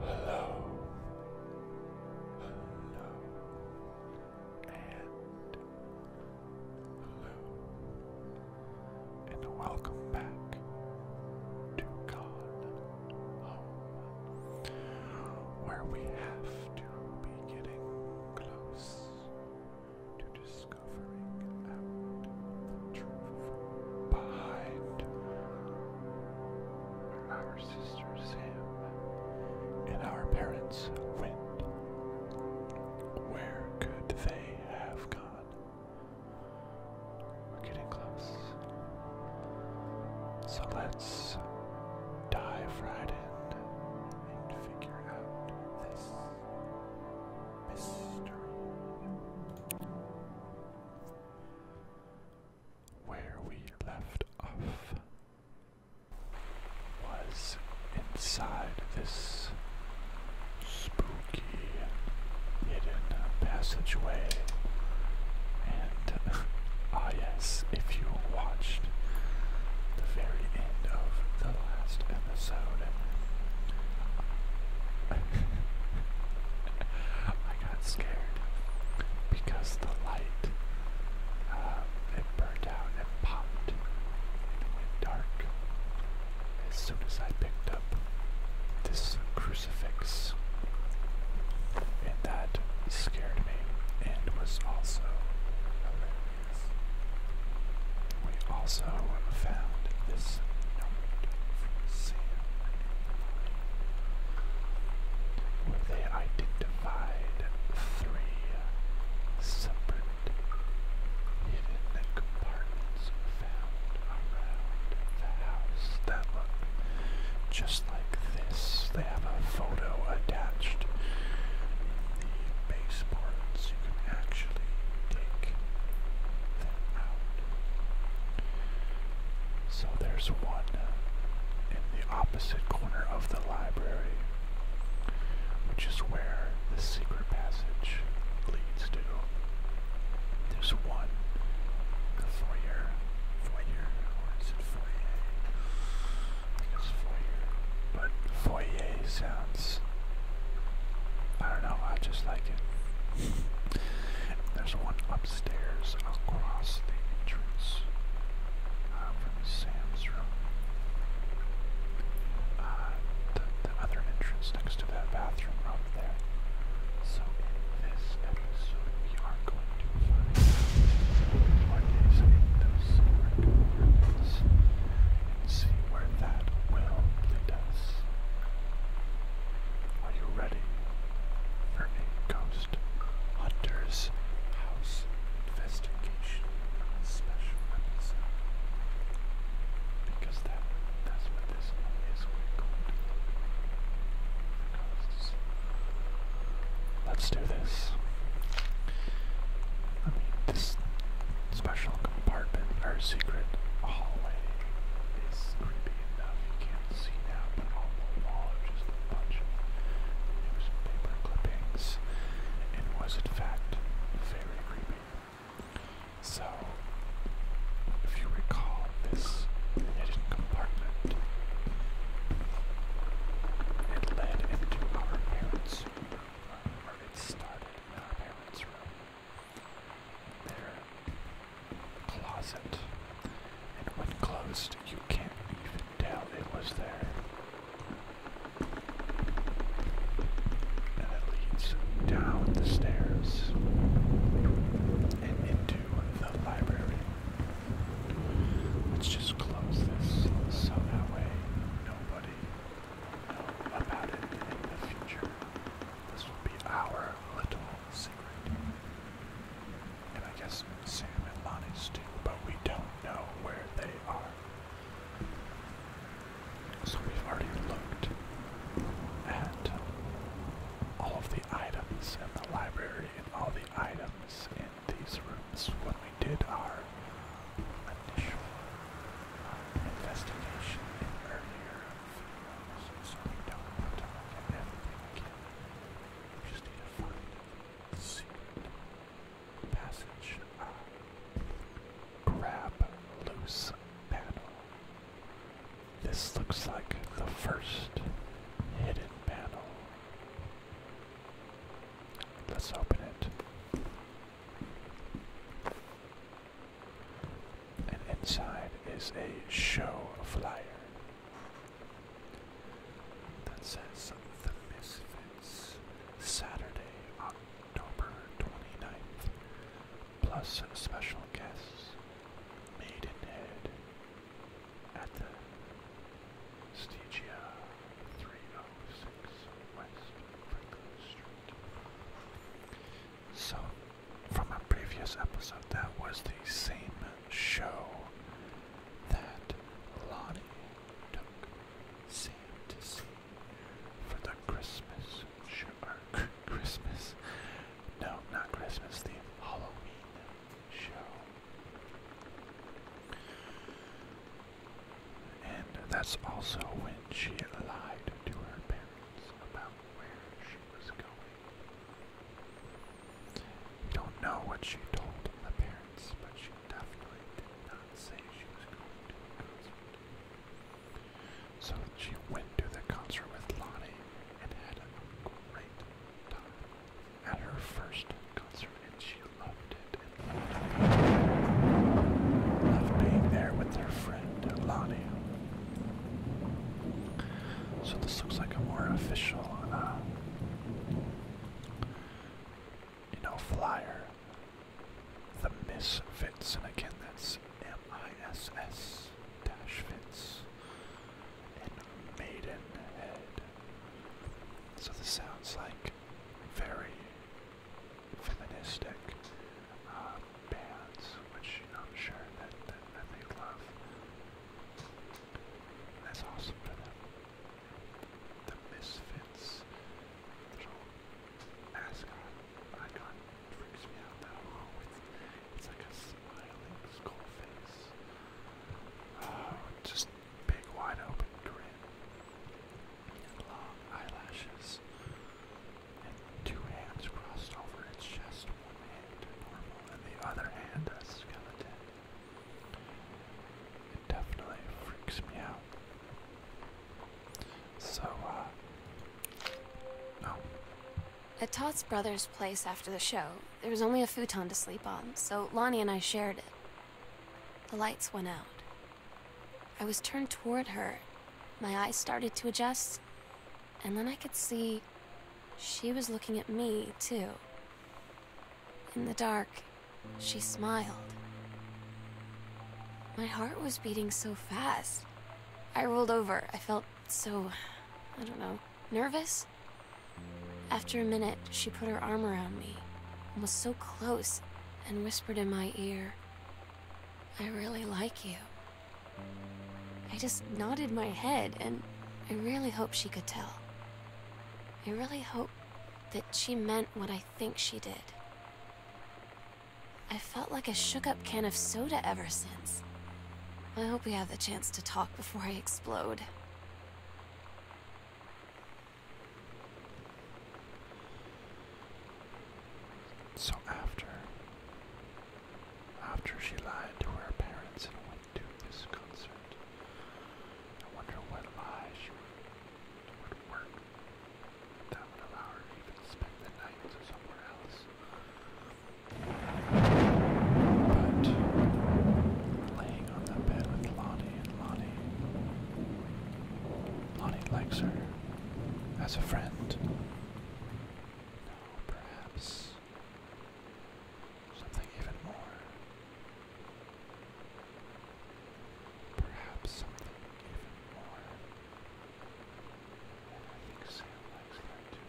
Hello, hello, and hello, and welcome back to God Home, where we have to be getting close to discovering the truth behind where our sister Sam and our parents went. Where could they have gone? We're getting close. So let's dive right in and figure out this mystery. Where we left off was inside this spoon hidden passageway. And ah, yes, if you watched the very end of the last episode, I got scared because the light uh, it burnt out and popped and it went dark as soon as I picked up this crucifix. And that scared me and was also hilarious. We also found this note from they identified three separate hidden compartments found around the that look just like this. They have a photo attached. The baseboards, you can actually take them out. So there's one in the opposite corner of the library, which is where the secret passage leads to. There's one. The foyer. Foyer. Or is it foyer? it's foyer. But foyer sounds. I don't know, I just like it. There's one upstairs across the entrance uh, from Sam's room. Uh, the, other entrance next to that bathroom, Rob so in this episode, we are going to find what is in those silver compartments and see where that will lead us. Are you ready for a ghost hunter's house investigation special episode? Because that—that's this is Let's do this. this special compartment, our secret hallway, is creepy enough. can't see now, but the wall are just a bunch of newspaper clippings, and was in fact very creepy. So, if you recall this hidden compartment, it led into our parents' room, or it started in our parents' room, their closet, and when closed, you can't even tell it was there. That leads down the stairs and into the library. Let's just close this so that way nobody know about it in the future. This will be our little secret. And I guess Sam and Lonnie's too, but we don't know where they are. So we've already looked at all of the items in the library and all the items in these rooms when we did our initial uh, investigation in earlier videos, so we don't want to look at everything again. We just need to find the secret passage. Uh, grab loose panel. This looks like the first hidden panel. Let's open it. And inside is a show flyer that says The Misfits, Saturday, October 29th, plus some special guests, made in at the Stygia, 306 West Franklin Street. So, from a previous episode, that was the same show that Lonnie took Sam to see for the Christmas Christmas. No, not Christmas. The Halloween show. And that's also when she lied to her parents about where she was going. Don't know what she told the parents, but she definitely did not say she was going to a concert. So she went to the concert with Lonnie and had a great time at her first concert, and she loved it and loved being there with her friend Lonnie. So this looks like a more official, uh, you know, flyer. The Miss Fits, and again, that's M-I-S-S dash fits and Maiden So this sounds like very feministic uh, bands, which I'm sure that, that, they love. That's awesome for them. The Misfits little mascot icon freaks me out It's, like a smiling skull face. Uh, just big wide open grin. long eyelashes. And two hands crossed over its chest. One hand normal and the other hand a skeleton. It definitely freaks me out. So, uh, oh. At Todd's brother's place after the show, there was only a futon to sleep on, so Lonnie and I shared it. The lights went out. I was turned toward her. My eyes started to adjust, and then I could see she was looking at me, too. In the dark, she smiled. My heart was beating so fast. I rolled over. I felt so, I don't know, nervous? After a minute, she put her arm around me and was so close and whispered in my ear, I really like you. I just nodded my head and I really hope she could tell. I really hope that she meant what I think she did. I felt like a shook up can of soda ever since. I hope we have the chance to talk before I explode. So after, after she lied to her parents and went to this concert, I wonder what she would work that would allow her to even spend the night somewhere else. But laying on the bed with Lonnie and Lonnie. Lonnie likes her as a friend. No, perhaps something even more. Perhaps something even more. And I think Sam likes her too.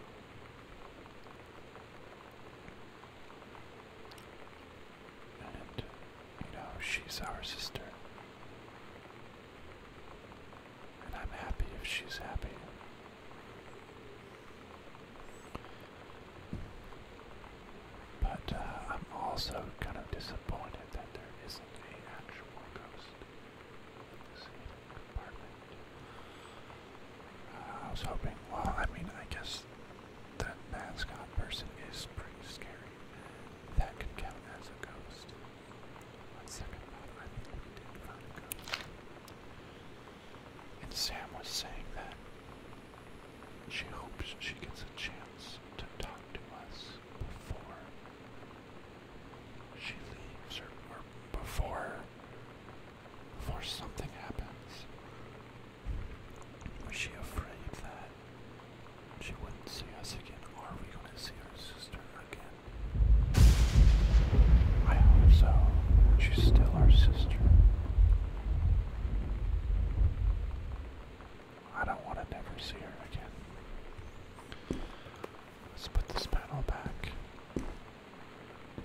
And, you know, she's our sister. And I'm happy if she's happy. But uh, I'm also kind of disappointed that there isn't an actual ghost. I was hoping, well, I mean, I guess that mascot person is pretty scary. That could count as a ghost. One second I think we did find a ghost. And Sam was saying that she hopes she gets a chance to talk to us before she leaves, or, or before before something happens. Was she afraid that she wouldn't see us again? Or are we going to see her sister again? I hope so. She's still our sister. I don't want to never see her again. Let's put this panel back.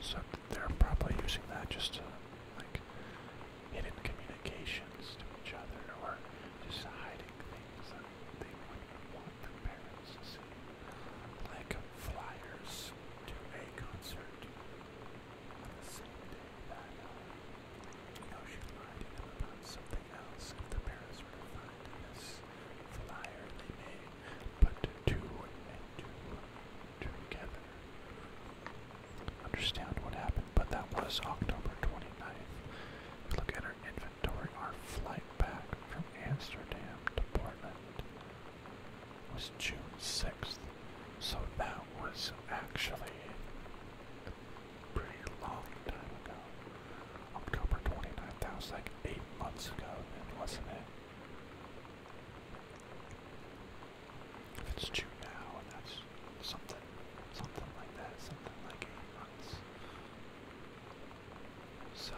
So they're probably using that just to, like, hidden communications to each other or just hiding things that they wouldn't want their parents to see. Like flyers to a concert on the same day that, um, you know, she lied to them about something else. If the parents were to find this flyer, they may but two and two together. Understand what happened, but that was October 29th. Look at our inventory. Our flight back from Amsterdam to Portland was June 6th, so that was actually a pretty long time ago. October 29th, that was like eight months ago then, wasn't it? If it's due now, that's something, something like that, something like months. So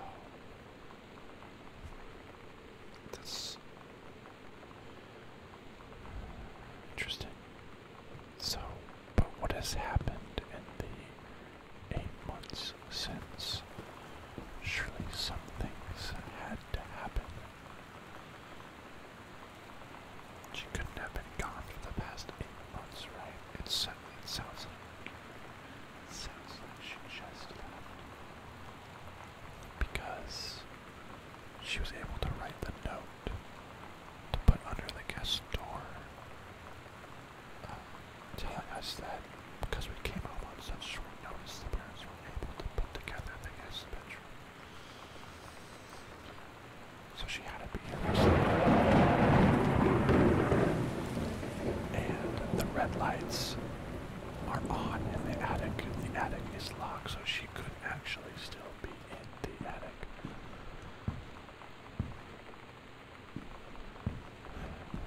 that's interesting. So, but what has happened in the eight months since. Surely some things had to happen. She couldn't have been gone for the past eight months, right? It certainly it sounds like it sounds she just left. Because she was able to write the note to put under the guest door. Um, telling us that because we came up on such short notice, the parents were able to put together the guest bedroom. So she had to be here And the red lights are on in the attic. and The attic is locked, so she could actually still be in the attic.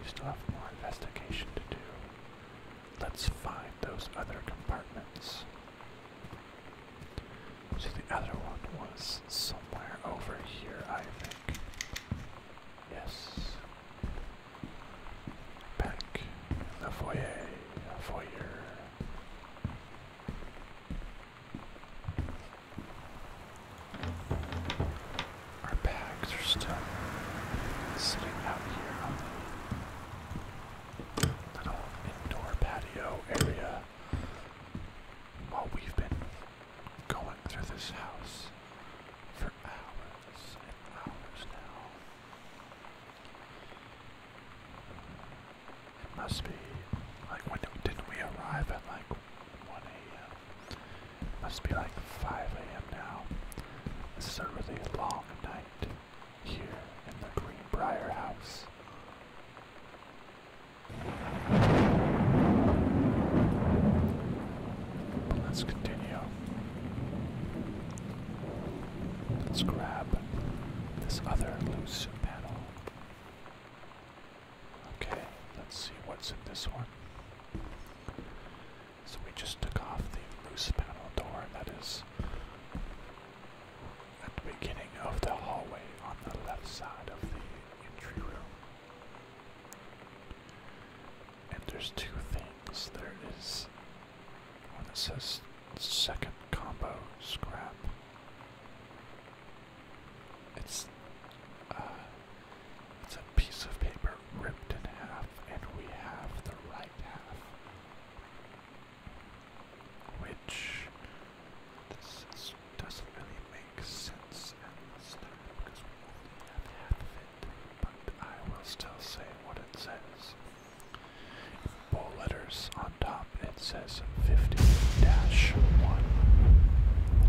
We still have more investigation to do. Let's find those other compartments. So the other one was somewhere over here, I think. Yes. Back the foyer, foyer. Our bags are still sitting out here on the little indoor patio area while we've been going through this house for hours and hours now. It must be like when didn't we arrive at like 1 a.m.? Must be like 5 a.m. now. This is a really long night here in the Greenbrier house. But let's continue. Let's grab this other loose panel. Okay, let's see what's in this one. So we just took off the loose panel door that is at the beginning of the hallway on the left side of the entry room. And there's two things. There is one that says second combo scrap. Uh, it's a piece of paper ripped in half and we have the right half. Which this doesn't really make sense at this time because we only have half of it. But I will still say what it says. In bold letters on top it says 50-1. dash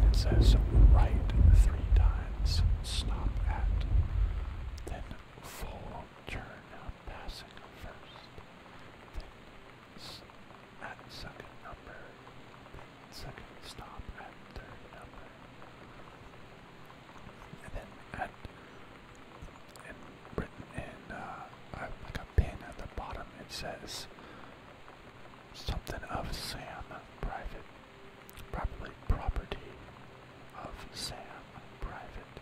It says write three times, stop at. Then full turn of uh, passing first, then at second number, second stop at third number, and then at and written uh, like a pin at the bottom, it says something of Sam Private Properly property of Sam Private.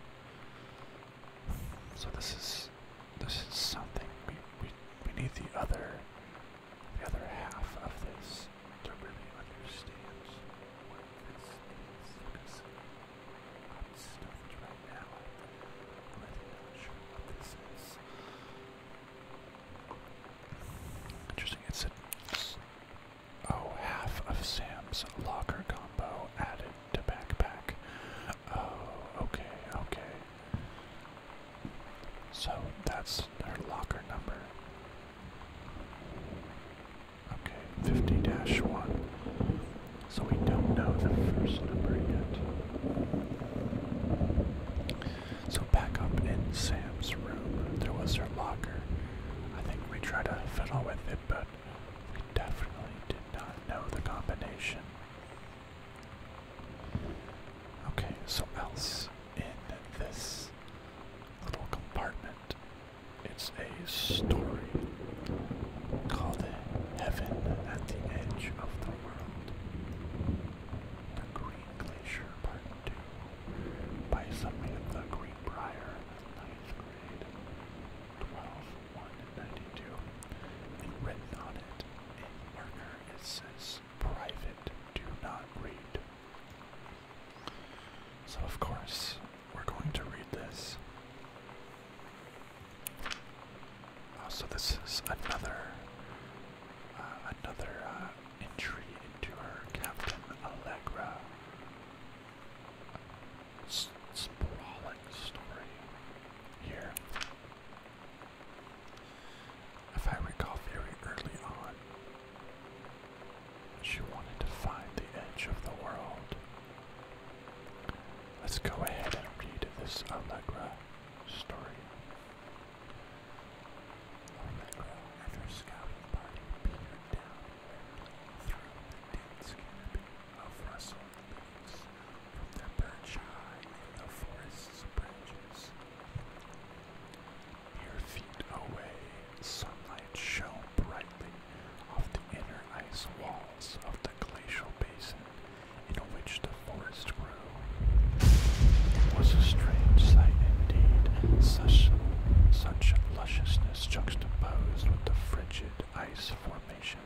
So this is this is something we we we need the other the other half of this to really understand what this is because I'm stuffed right now. I'm really not sure what this is. Interesting. It's a Oh, half of Sam's locker combo added to backpack. Oh, okay, okay. So that's their locker number. Okay, 50 1. So we don't know the first number yet. So back up in Sam's room, there was their locker. I think we tried to fiddle with it, but we definitely did not know the combination. Okay, so else in this little compartment? It's a story called Heaven at the Edge of the World. The Green Glacier Part 2 by Samantha Greenbrier ninth grade, 12192, and written on it in marker it says private, do not read. So of course, we're going to read this. Oh, so this is another, uh, another uh, entry into our Captain Allegra. S sprawling story here. If I recall very early on, she wanted to find the edge of the world. Let's go ahead and read this Allegra story. Allegra and her down and through the dense canopy of rustling leaves from the perch high in the forest's branches. Mere feet away, sunlight shone brightly off the inner ice walls of the glacial basin in which the forest grew. It was a strange sight indeed, such such lusciousness juxtaposed with the frigid ice formation.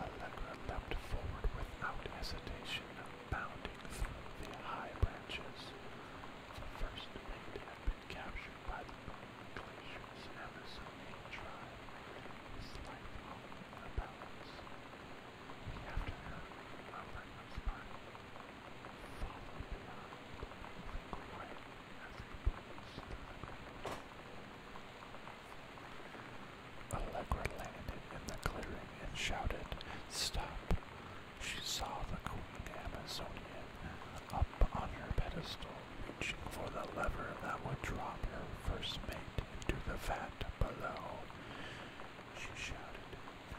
Allegra leapt forward without hesitation, bounding through the high branches. first mate had been captured by the glacier's Amazonian tribe, his life hung in the balance. After her, Allegra landed in the clearing and shouted, Stop! She saw the Queen Amazonian up on her pedestal, reaching for the lever that would drop her first mate into the vat below. She shouted, No,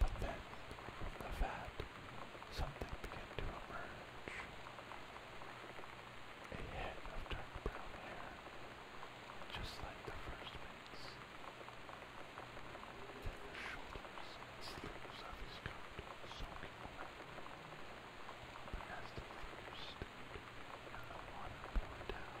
But then, from the vat, something began to emerge. A head of dark brown hair, just like the first mate's. Then the shoulders and sleeves of his coat soaking wet. the figure stood and the water down,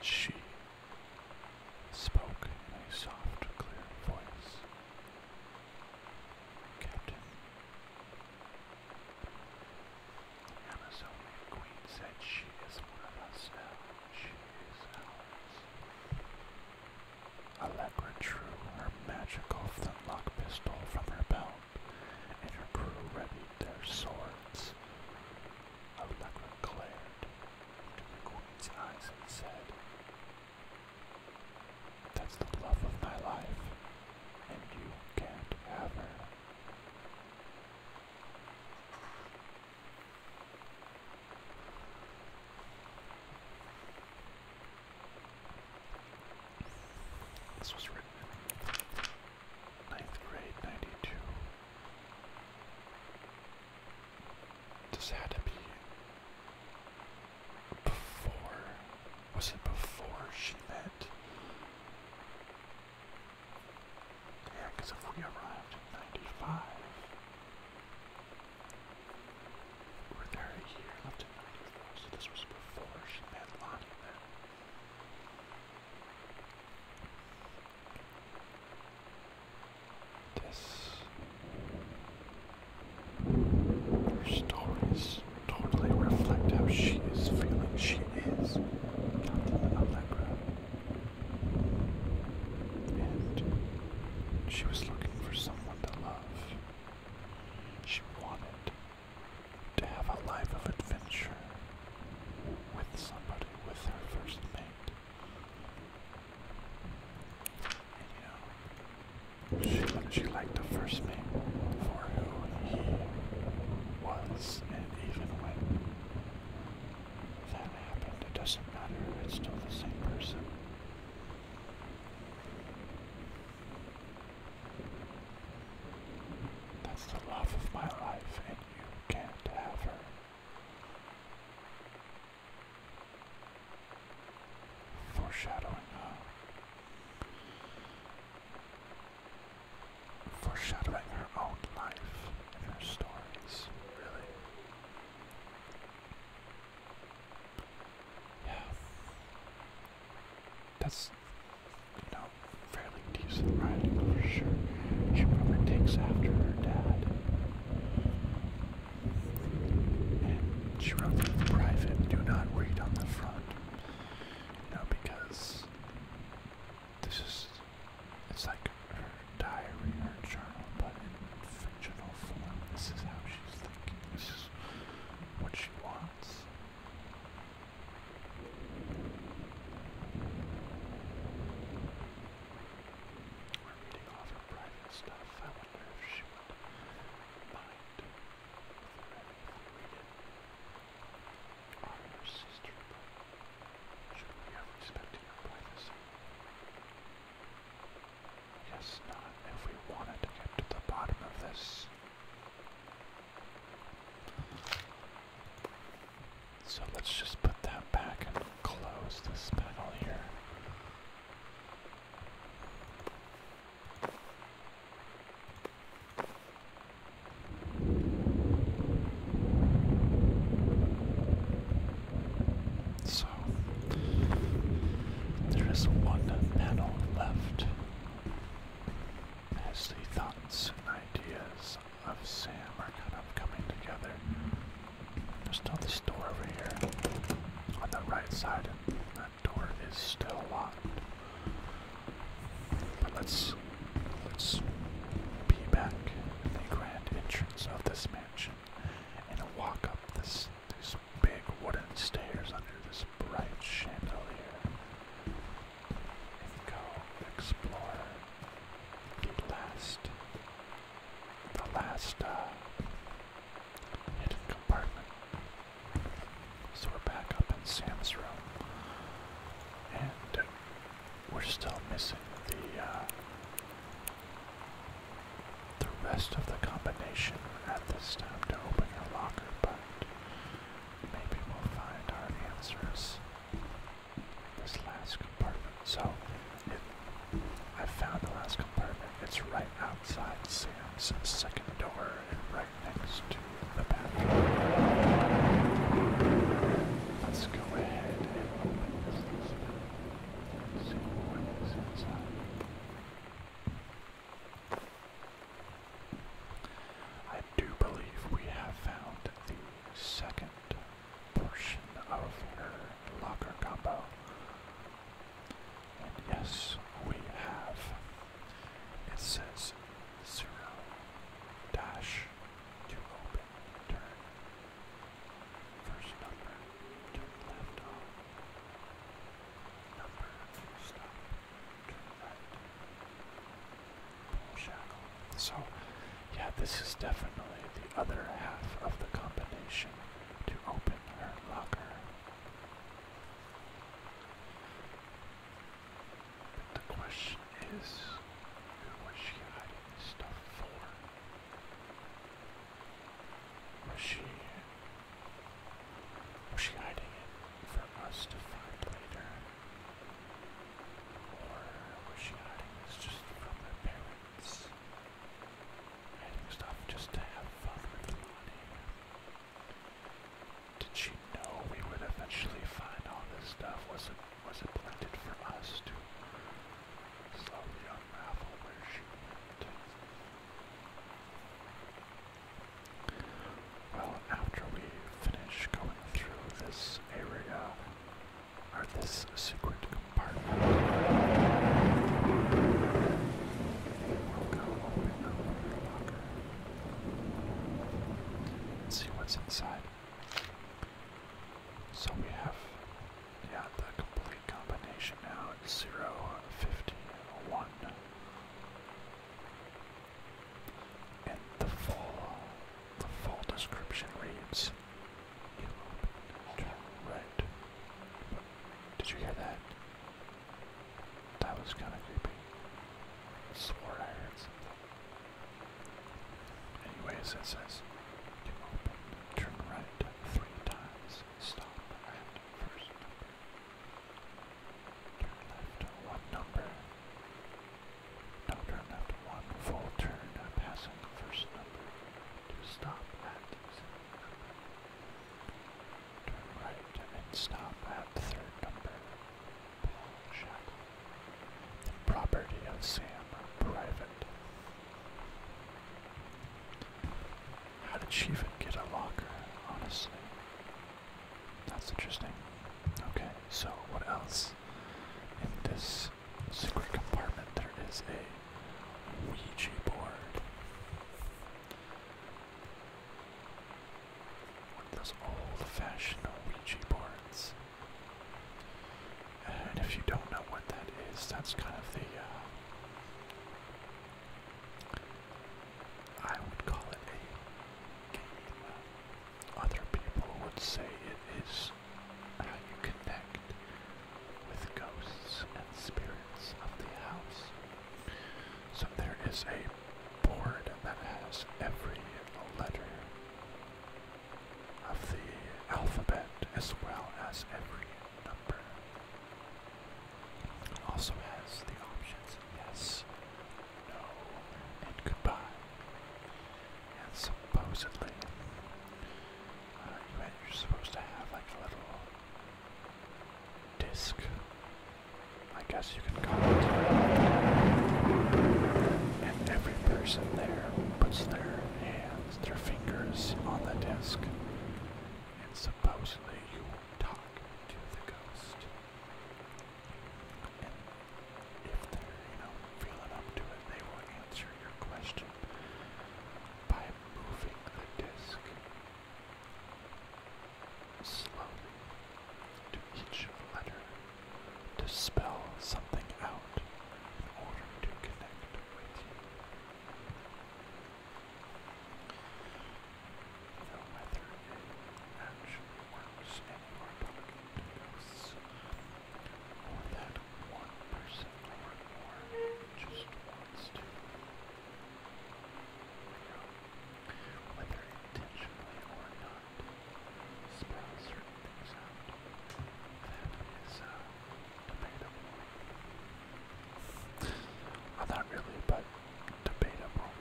He, she, spoke in a soft, clear voice. Captain, the Amazonian queen said she is one of us She is ours. Allegra drew her magical flintlock pistol from her belt, and her crew readied their swords. Allegra glared into the queen's eyes and said, That's the love of my life, and you can't have her. This was written Ninth grade, 92. This had to be before. Was it before she met? Yeah, if we arrived in 95, we're there a year left 94, so this was before she met Lonnie this. Her stories totally reflect how she is feeling. She is Captain Allegra. And she was looking for someone to love. She wanted to have a life of adventure with somebody, with her first mate. And you know, she, she liked the first mate for who he was, and even when that happened, it doesn't matter, it's still the same person. That's the love of my life, you can't have her. Foreshadowing, huh? Foreshadowing her own life her stories, really. Yeah. That's you fairly decent riding for sure. She probably takes after her dad. And she wrote for private, do not read on the front. You because this is, it's like her diary, her journal, but in fictional form. This is how she's thinking, this is what she wants. We're reading off private stuff. I wonder if she would mind reading on her sister. Should we have respected her privacy? Yes, not if we wanted to get to the bottom of this. So let's just put that back and close this panel here. So there is one panel left. As thoughts and ideas of Sam are kind of coming together. There's still this door over here on the right side, and that door is still locked. But let's let's be back in the grand entrance of this mansion and walk up this these big wooden stairs under this bright chandelier go explore the last, the last uh, hidden compartment. So we're back up in Sam's room, and we're still missing the uh, the rest of the combination at this time to open your locker, but maybe we'll find our answers this last compartment. So it, I found the last compartment. It's right outside Sam's second door and right next to the bathroom. Let's go ahead and open this list and see what is inside. I do believe we have found the second portion of your locker combo. And yes, we have. It says zero dash to open turn. First number to left on. Number stop so, yeah, this is definitely the other half of the combination to open her locker. But the question is, who was she hiding stuff for? Was she was she hiding it for us to find later? Or was she hiding this just from her Hiding stuff just to have fun with Lonnie? Did she know we would eventually find all this stuff? Was it was it planted for us to slowly unravel where she went? Well, after we finish going through this area, is this secret compartment. We'll go open the locker see what's inside. So we have, yeah, the complete combination now. Zero, fifty, one, and the full the full description reads Yellow turn red. Did you hear that? That was kinda creepy. swore I heard something. Anyways, it says you turn right three times, stop at first Turn left one number. Now turn left one full turn, passing the first number to stop at second number. Turn right and stop at third number. Paul Shackle. property of Sam Private. How did she even get a locker, honestly? That's interesting. Okay, so what else in this secret compartment there is a Ouija board one of those old-fashioned Ouija boards. And if you don't know what that is, that's kind of the uh, I would call it a game. Other people would say it is how you connect with ghosts and spirits of the house. So there is a board that has every letter of the alphabet as well as every number. also has the options yes, no, and goodbye. And supposedly, uh, you are supposed to have like a little disc. I guess you can call it. And every person there puts their hands, their fingers on the disc. And supposedly you talk to the ghost if they're, you know, feeling up to it, they will answer your question by moving the disc slowly to each letter to spell something out in order to connect with you. The weather actually works and you are talking to ghosts. Or that one person or more just wants to. Whether intentionally or not, spell certain things out. That is uh, debatable. well, not really, but debatable.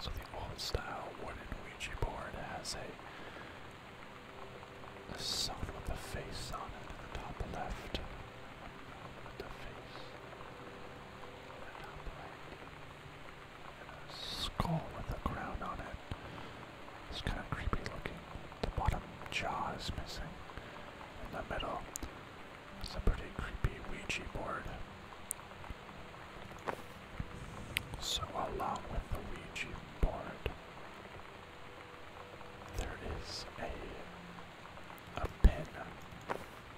So the old style wooden Ouija board has a the sun with the face on it top left. the face. top right. a skull with a crown on it. It's kind of creepy looking. The bottom jaw is missing. In the middle, it's a pretty creepy Ouija board. So along with the Ouija board there is a a pen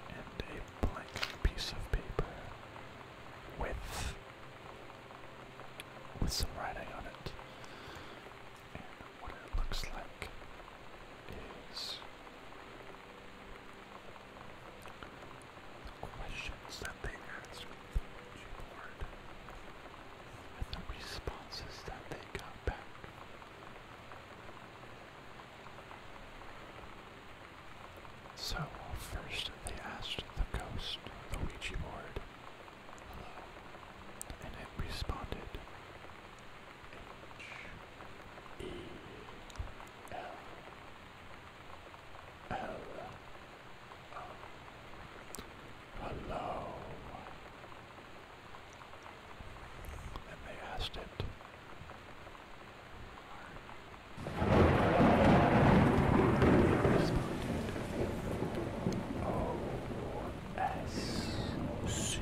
and a blank piece of paper with with some writing on it. And what it looks like is the questions that they ask bored with the responses that they got back. So first they asked the ghost, the Ouija board, hello, and it responded H E L Hello. Hello. And they asked it. O S C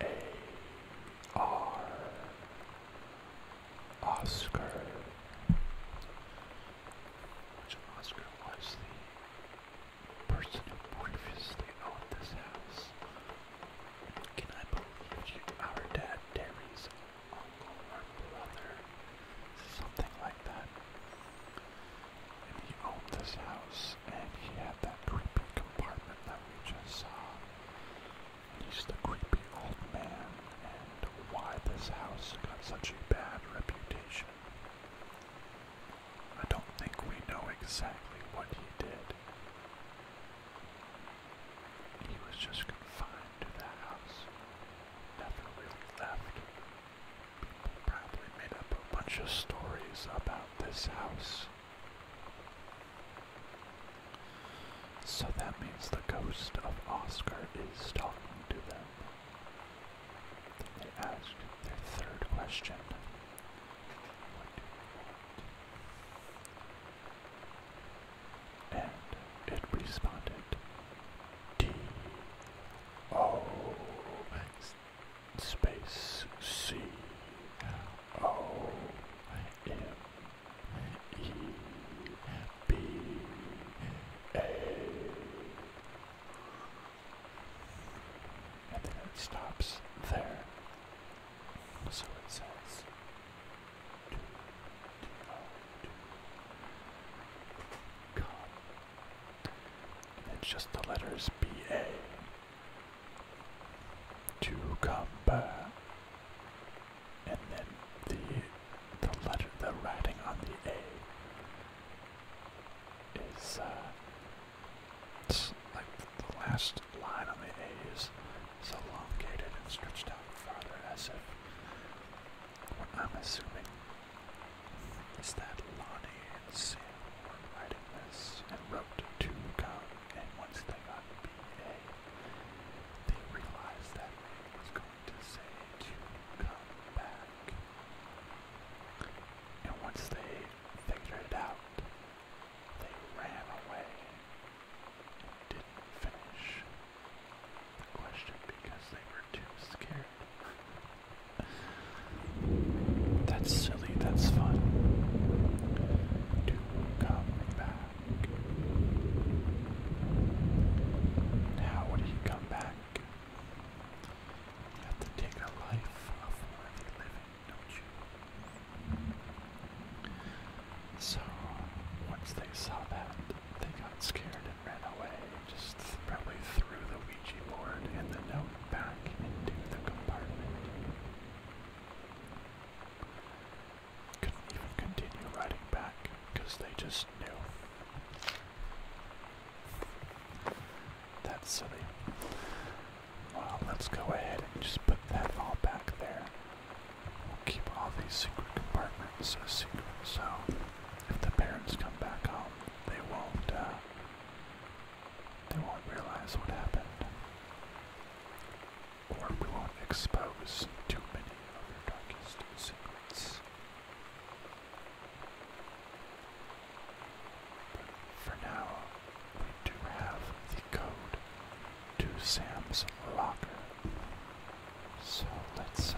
A R Oscar which Oscar was the person who previously owned this house. Can I believe you? Our dad, Terry's uncle or brother, something like that. And he owned this house, and he had that creepy compartment that we just saw. And he's the creepy old man, and why this house got such a bad reputation I don't think we know exactly what he did. He was just confined to the house, never really left. People probably made up a bunch of stories about this house. So that means the ghost of Oscar is talking to them. They asked their third question. What do you want? And it responded D O and then it stops there. So it says to, oh, come. it's just the letters B A to come back. And then the the letter, the writing on the A is, uh, like the last line on the A is, elongated and stretched out farther as if, what I'm assuming is that Lonnie and Sam were writing this and wrote to come, and once they got BA, they realized that it was going to say to come back. And once they figured it out, they ran away didn't finish the question because they were too scared. That's silly, that's fun. To come back. Now, would he come back? have to take a life of worthy living, don't you? So, once they saw that, they got scared and ran away, just probably threw the Ouija board and the note back into the compartment. Couldn't even continue riding back because they just that's silly. Well, let's go ahead and just put that all back there. We'll keep all these secret compartments a secret, so if the parents come back home, they won't, uh, they won't realize what happened. Or we won't expose too many of your darkest secrets. But for now, we do have the code to Sam's locker. So let's uh,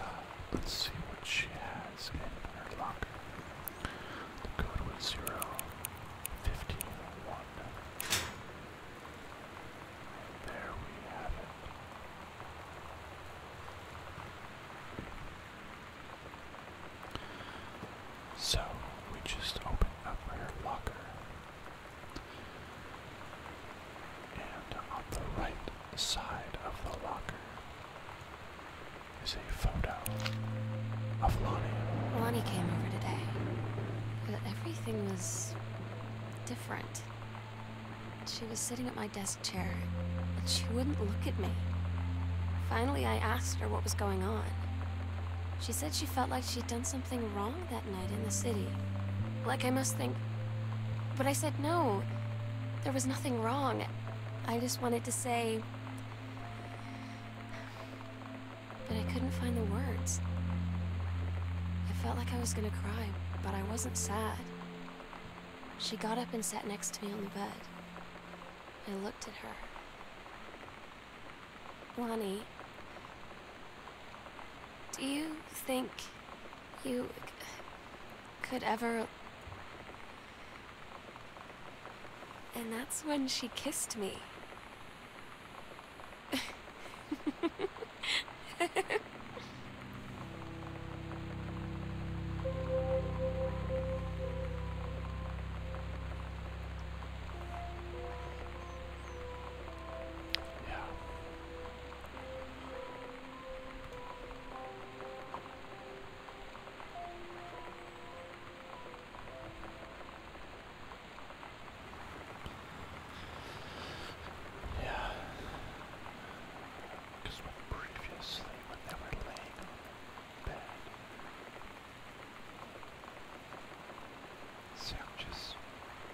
let's see what she has in her locker. The code was zero fifty one. And there we have it. So we just open up her locker. And on the right side of the locker is a photo of Lonnie. Lonnie came over today. but Everything was different. She was sitting at my desk chair, and she wouldn't look at me. Finally, I asked her what was going on. She said she felt like she'd done something wrong that night in the city. Like I must think... But I said no. There was nothing wrong. I just wanted to say... But I couldn't find the words. I felt like I was gonna cry, but I wasn't sad. She got up and sat next to me on the bed. I looked at her. Lonnie, do you think you could ever... And that's when she kissed me. Because when previously, when they were laying Sam just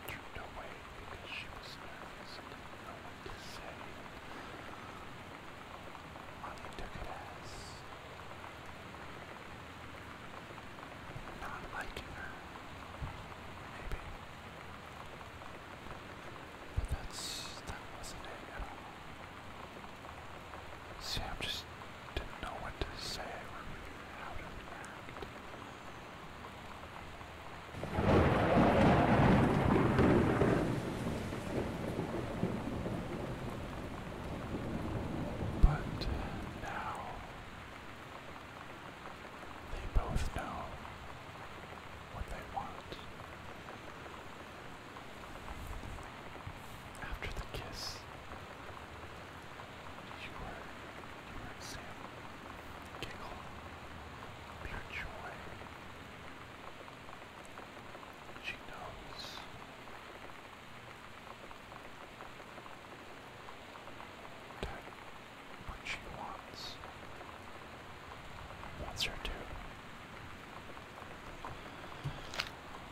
turned away because she was nervous and didn't know what to say. Molly took it as not liking her, maybe. But that's that wasn't it at all. Sam just didn't know what to say But now they both know what they want. After the kiss, you were, you were Sam, giggle, pure She knows. what she wants wants her to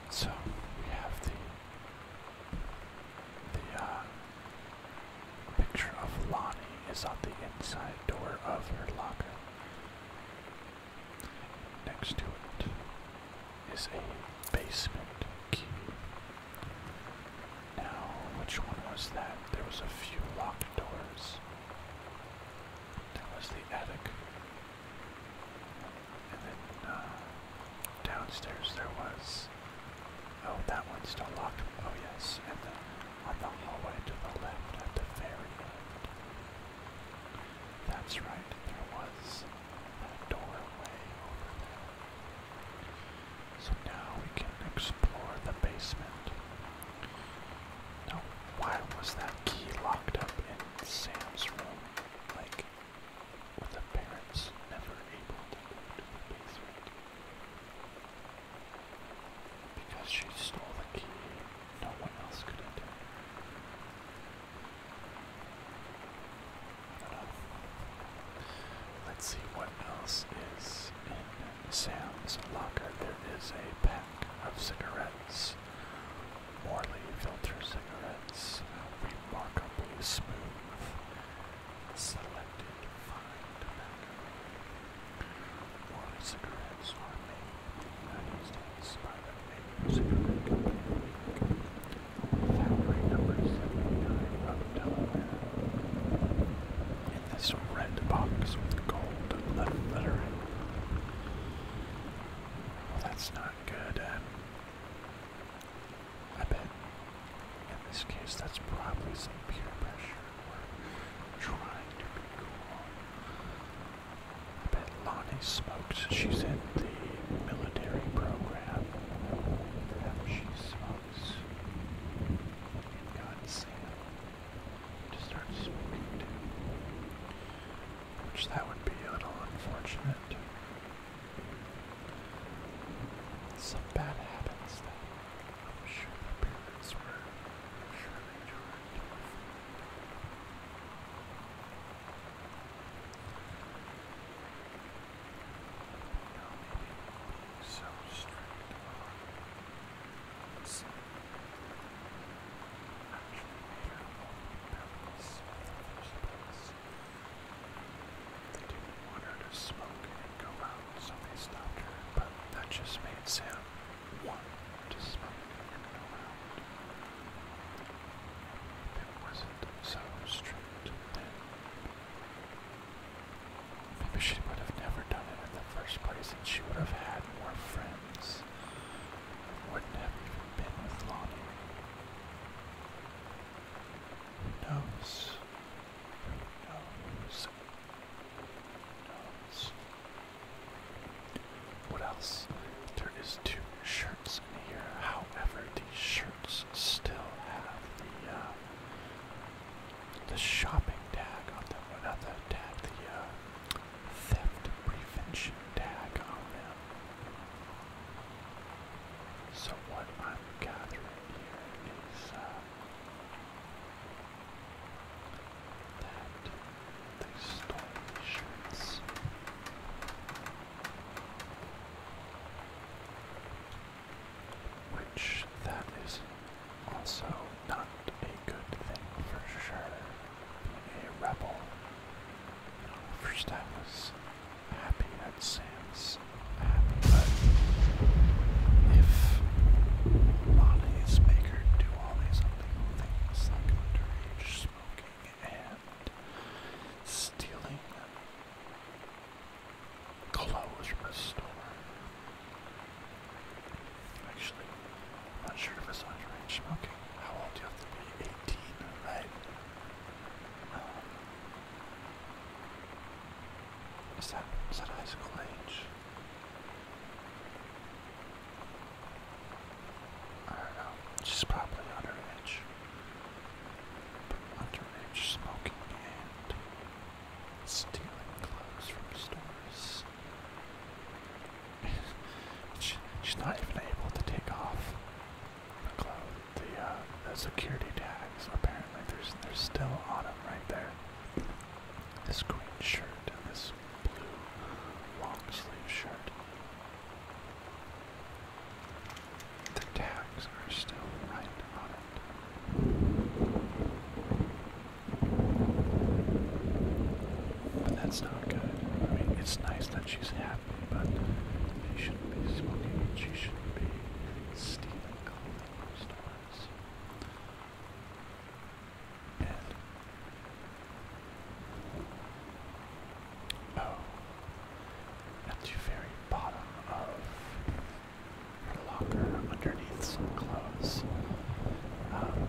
so we have the the uh, picture of Lonnie is on the inside door of her locker. Next to it is a basement key. Now, which one was that? There was a few locked doors. That was the attic. And then uh, downstairs there was. Oh, that one's still locked. Oh, yes. And then on the hallway to the left at the very end. That's right. There was that doorway over there. So now we can explore the basement. Now, why was that key locked up in Sam's room? Like, with the parents never able to go to the basement? Because she stole the key, no one else could enter. Let's see what else is in Sam's locker. There is a pack of cigarettes Morley filter cigarettes, remarkably smooth, selected fine tobacco. cigarettes are made in by the Major Cigarette Company, Foundry number 79 of In this red box gold lettering. That's not good. I bet in this case that's probably some peer pressure or trying to be cool. I bet Lonnie smokes. She's in the military program. Perhaps she smokes. And got Sam to start smoking which that would be a little unfortunate. Some bad habits that sure the parents were surely trying to avoid. so they didn't want her to smoke and go out, so they stopped her, but that just made Sam want to smoke and go out. If it wasn't so strict, then maybe she would have never done it in the first place and she would have had more friends wouldn't have even been with Lonnie. Who knows? Who knows? Who knows? What else? There is two shirts here. However, these shirts still have the uh, the shopping tag on them. Not the tag, the uh, theft prevention tag on them. So what I'm gathering here is uh, that they stole the shirts. Which that is also not a good thing for sure a rebel. First I was happy that Sam's if Lonnie's make do all these illegal things like underage smoking and stealing clothes from a store. Actually, not sure if it's underage smoking. How old do you have to be? 18, right? Um, is that is that high school age? I probably underage. underage smoking and stealing clothes from stores she, she's not even able to take off the uh, the, security tags. Apparently, there's there's still on them right there. This green shirt and this blue long sleeve shirt. The tags are still right on it. But that's not good. I mean, it's nice that she's happy, but she shouldn't be smoking. She shouldn't be stealing clothing oh, at the very bottom of her locker, underneath some clothes, um,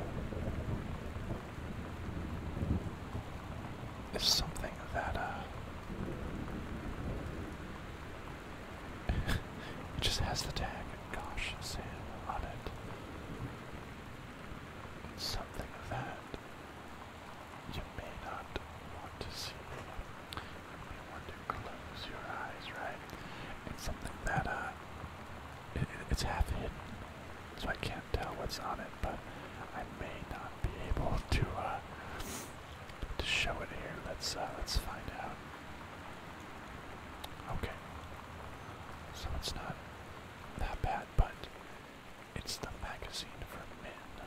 it's something that uh it just has the tag gosh Sam on it. It's something that you may not want to see. You may want to close your eyes, right? It's something that uh it's half hidden, so I can't tell what's on it. But I may not be able to uh, to show it here. Let's uh, let's find out. Okay, so it's not that bad, but it's the magazine for men,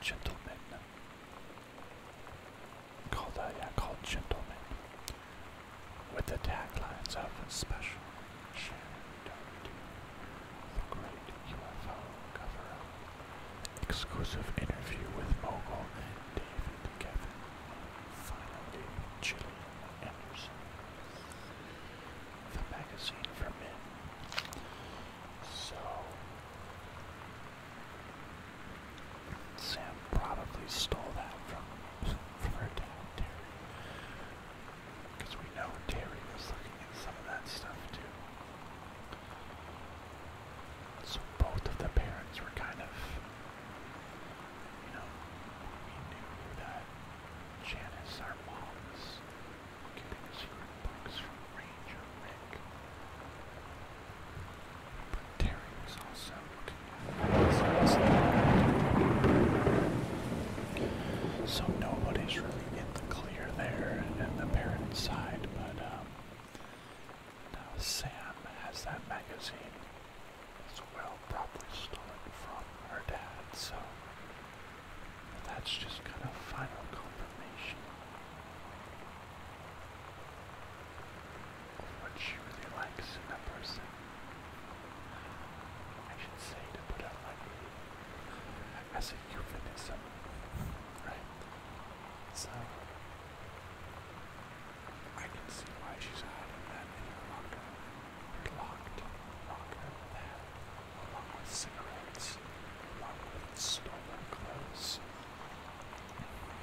gentlemen. Called uh, called gentlemen with the taglines of Special Shannon Doherty, The Great UFO Cover-Up, Exclusive Interview with Mogul David Kevin, Finally Gillian Anderson, The Magazine for Men. So, Sam probably stole that from, from her dad, Terry. Because we know Terry was looking at some of that stuff too. So both of the parents were kind of, you know, we that Janice, our mom, was keeping the secret books from Ranger Rick. But Terry was also looking at things. So nobody's really in the clear there and the parent side, but um, now Sam has that magazine as well, probably stolen from her dad, so that's just kind of final confirmation of what she really likes in a person. I should say to put out my baby as a euphemism, right? So I can see why she's hiding that in her locker, her locked locker that, along with cigarettes, along with stolen clothes.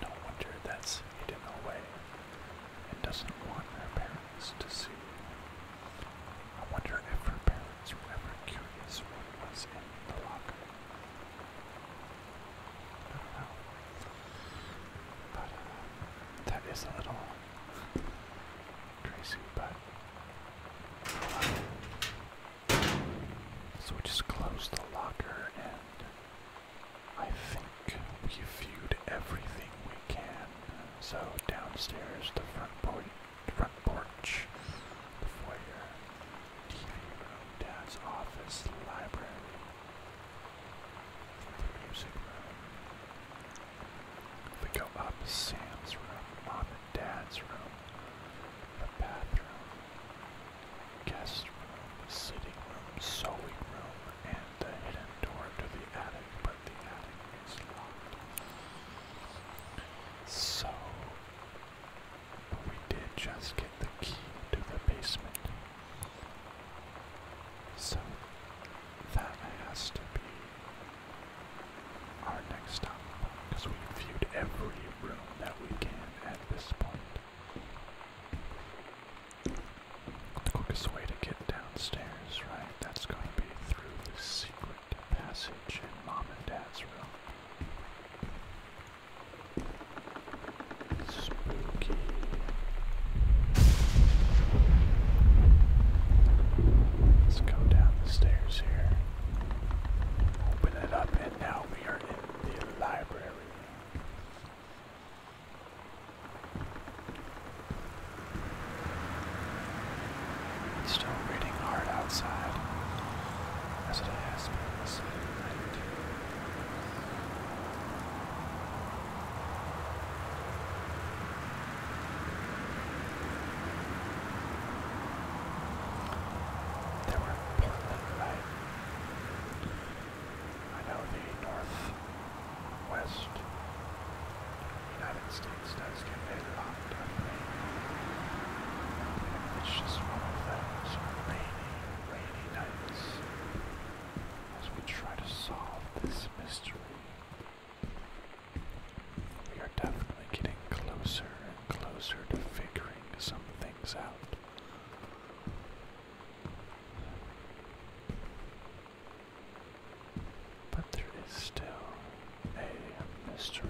No wonder that's hidden away It doesn't want her parents to see. I wonder if her parents were ever curious what was in the locker. I don't know. But uh, that is a little crazy, but so just closed the locker and I think we viewed everything we can so downstairs, the front porch, front porch, the foyer, TV room, dad's office, library, the music room. If we go up, Sam's room, mom and dad's room, the bathroom, guest room, sitting room, sewing room, and the hidden door to the attic, but the attic so, we did just get the key to the basement. So, that has to be our next stop because we viewed every room that we can at this point. The quickest way to get down downstairs, right? That's going to be through the secret passage in Mom and Dad's room. Spooky. Let's go down the stairs here. Open it up, and now we are in the library. It's still raining hard outside, as it has been this late night. They were Portland tonight. I know the Northwest United States things does get very locked up lately. It's just one of those rainy, rainy nights as we try to solve this mystery. We are definitely getting closer and closer to figuring some things out. But there is still a mystery.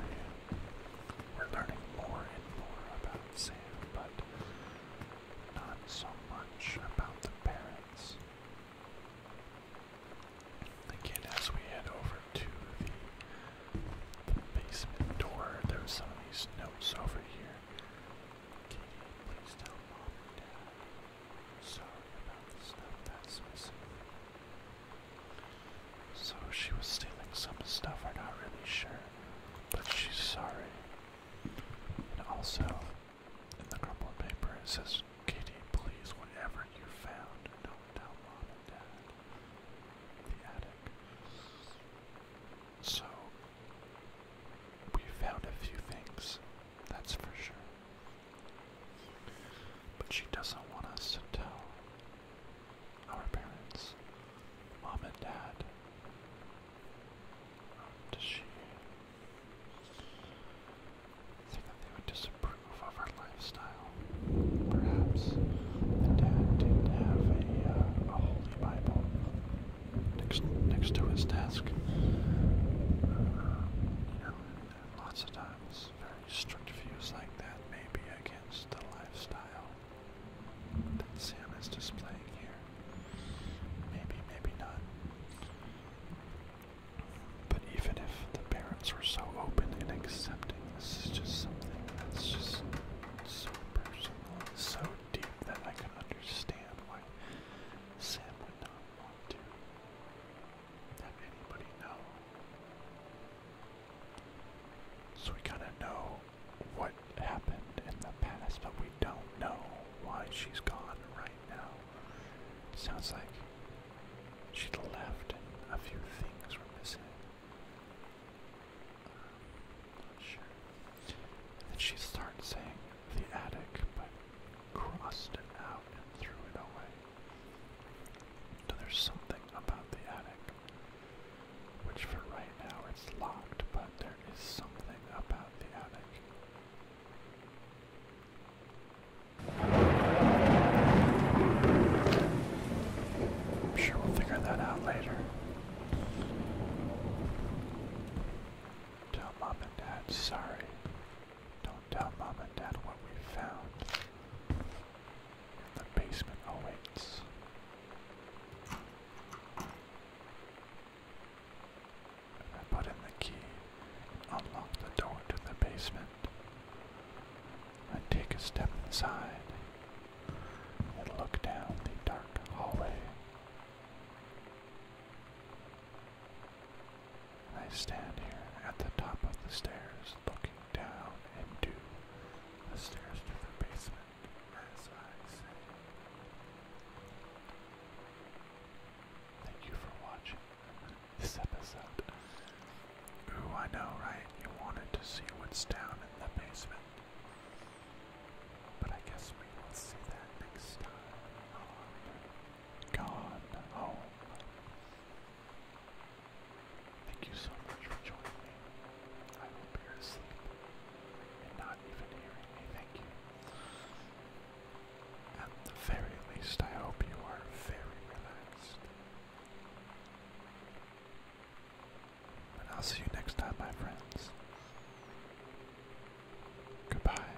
We're learning more and more about Sam, but not so much about the parents. Again, as we head over to the, the basement door, there's some of these notes over here. Katie, please tell mom and dad Sorry about the stuff that's missing. So she was stealing some stuff, I'm not really sure. But she's sorry. And also, in the crumpled paper it says, Katie, please, whatever you found, don't tell mom and dad. The attic. So, we found a few things, that's for sure. But she doesn't want us to tell our parents, mom and dad. Um, does she think that they would disapprove of our lifestyle? Perhaps the dad didn't have a, uh, a holy Bible next next to his desk. Uh, you know, lots of times very strict views like that may be against the lifestyle that Sam is displaying here. Maybe, maybe not. But even if the parents were so open and accepting, this is just something that's just so personal so deep that I can understand why Sam would not want to that anybody know. So we kind of know what happened in the past, but we don't know why she's gone right now. Sounds like she left and a few things were missing. Um, sure. then she starts saying the attic, but crossed it out and threw it away there's something about the attic, which for right now it's locked, but there is something about the attic. I'm sure we'll figure that out later. Tell mom and dad sorry tell mom and dad what we found. The basement awaits. I put in the key unlock the door to the basement. I take a step inside and look down the dark hallway. I stand here at the top of the stairs looking down into the stairs to the basement as I say. Thank you for watching this episode. Ooh, I know, right? You wanted to see what's down in the basement. But I guess we will see that next time on Gone Thank you so much for joining me. I hope you're asleep and not even hearing me. Thank you. At the very least, I hope you are very relaxed. And I'll see you next time, my friends. Goodbye.